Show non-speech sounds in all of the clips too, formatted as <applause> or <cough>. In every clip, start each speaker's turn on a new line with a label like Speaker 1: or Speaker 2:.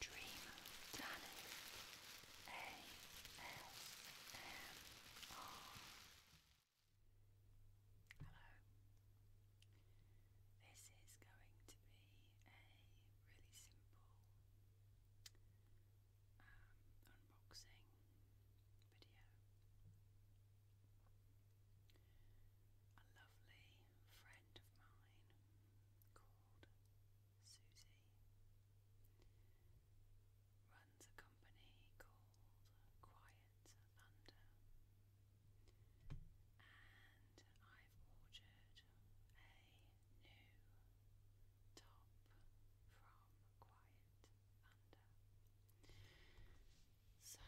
Speaker 1: Dream Danny ASMR. Hello. This is going to be a really simple um, unboxing video. A lovely friend of mine Susie runs a company called Quiet Thunder, and I've ordered a new top from Quiet Thunder. So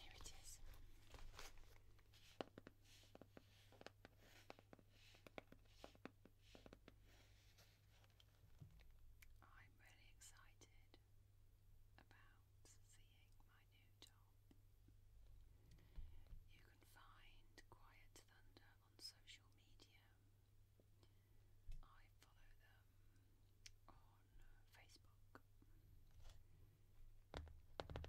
Speaker 1: here it is. I'm really excited about seeing my new job. You can find Quiet Thunder on social media. I follow them on Facebook at the moment.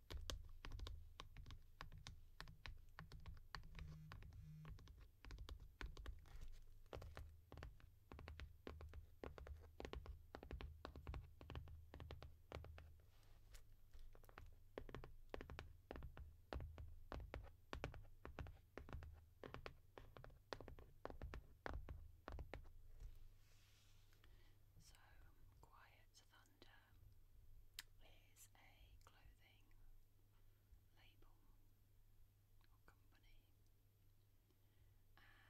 Speaker 1: So quiet under is a clothing label or company,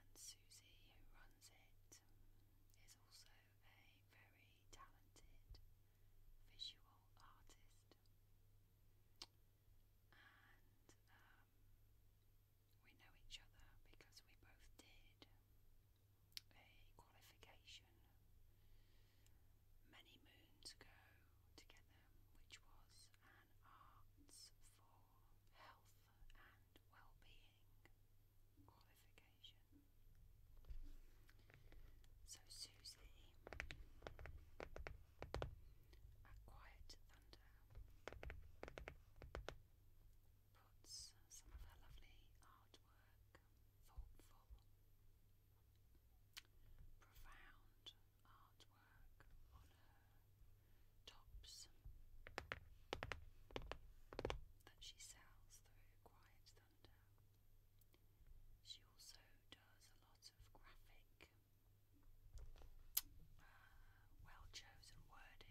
Speaker 1: and Susie, who runs it, is also a very talented visual artist, and um, we know each other because we both did a qualification many moons ago together, which was an Arts for Health and Well-being qualification. So Susie at Quiet Thunder puts some of her lovely artwork thoughtful, profound artwork on her tops that she sells through Quiet Thunder. She also does a lot of graphic, uh, well chosen wording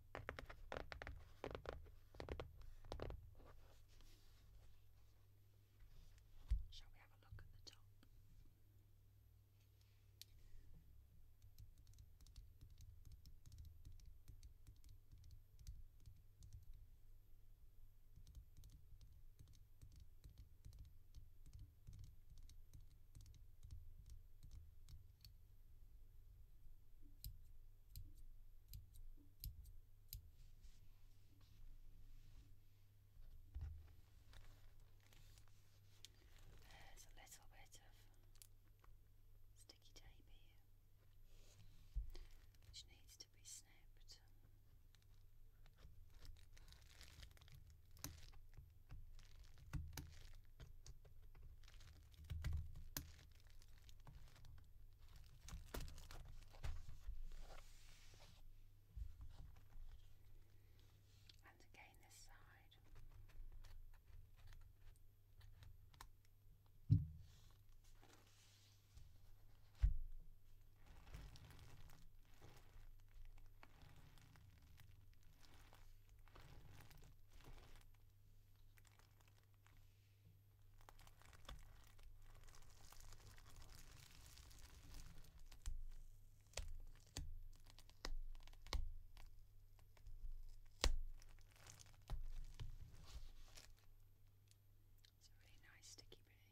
Speaker 1: Shall we have a look at the top? There's a little bit of sticky tape here, which needs to be snipped. And again, this side. It's a really nice sticky bit in here.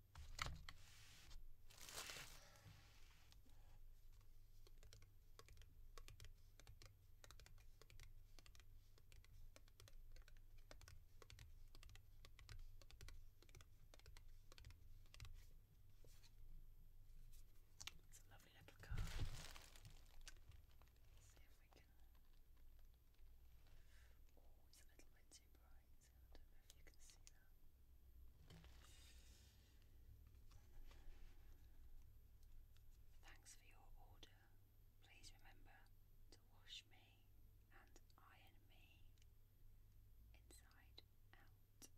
Speaker 1: It's a lovely little card. see if we can. Oh, it's a little bit too bright see. you Thanks for your order. Please remember to wash me and iron me inside out. Quiet thunder.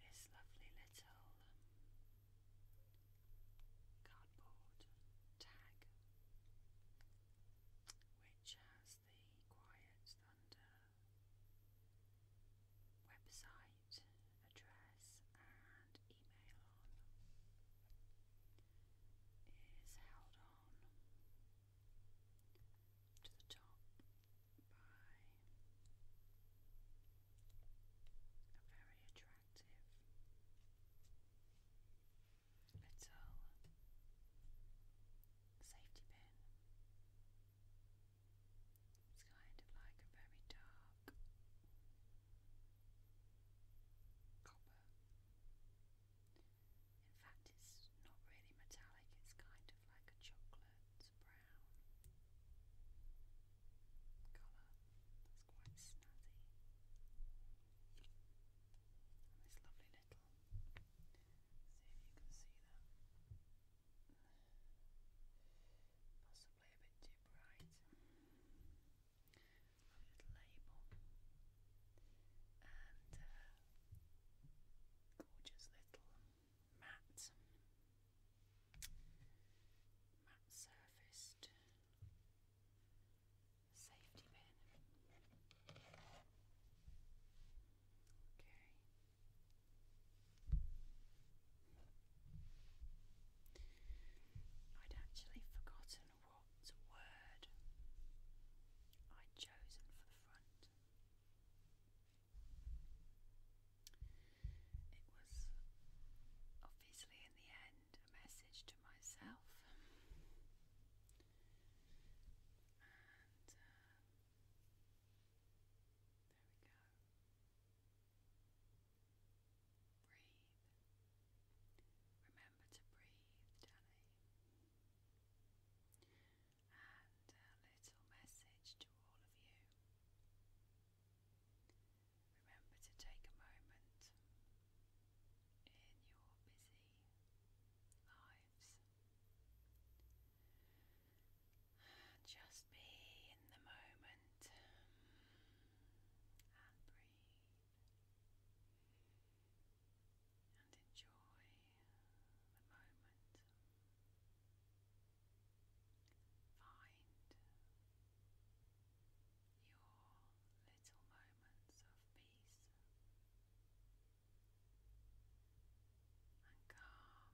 Speaker 1: This lovely little um, cardboard tag, which has the Quiet Thunder website address and email is held on to the top by a very attractive it's safety pin. It's kind of like a very dark copper. In fact, it's not really metallic, it's kind of like a chocolate brown colour. That's quite snazzy. this lovely little See if you can see that. Possibly a bit too bright. I'll just label. And uh, gorgeous little matte, matte surfaced safety pin. Okay. I'd actually forgotten what word I'd chosen for the front. It was obviously in the end a message to myself. And there uh, we go. Breathe. Remember to breathe, Danny. And a uh, little message to all of you. Remember to take a moment in your busy lives. Just be in the moment and breathe and enjoy the moment. Find your little moment of peace and calm.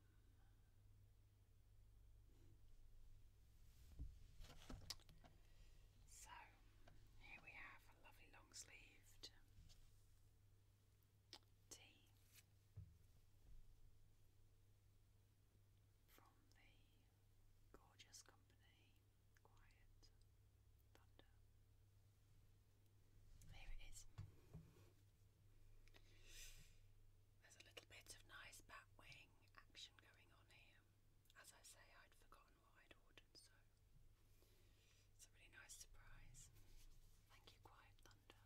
Speaker 1: So, here we have a lovely long sleeved tee from the gorgeous company quiet thunder. There it is. There's a little bit of nice bat wing action going on here. As I say, I'd forgotten what I'd ordered, so it's a really nice surprise. Thank you, Quiet Thunder.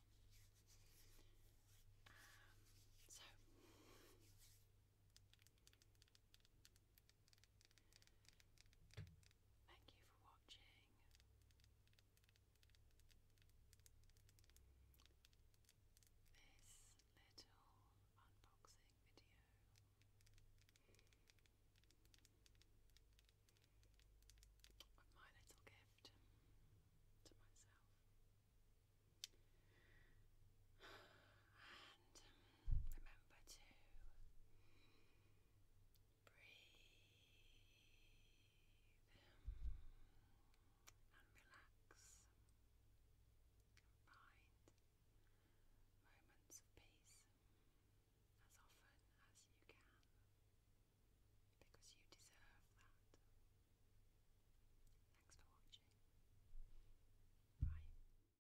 Speaker 1: Um, so, Thank you for watching. This little unboxing video. Of my little gift to myself. <sighs> remember to breathe and relax find moments of peace as often as you can because you deserve that. Thanks for watching. Bye.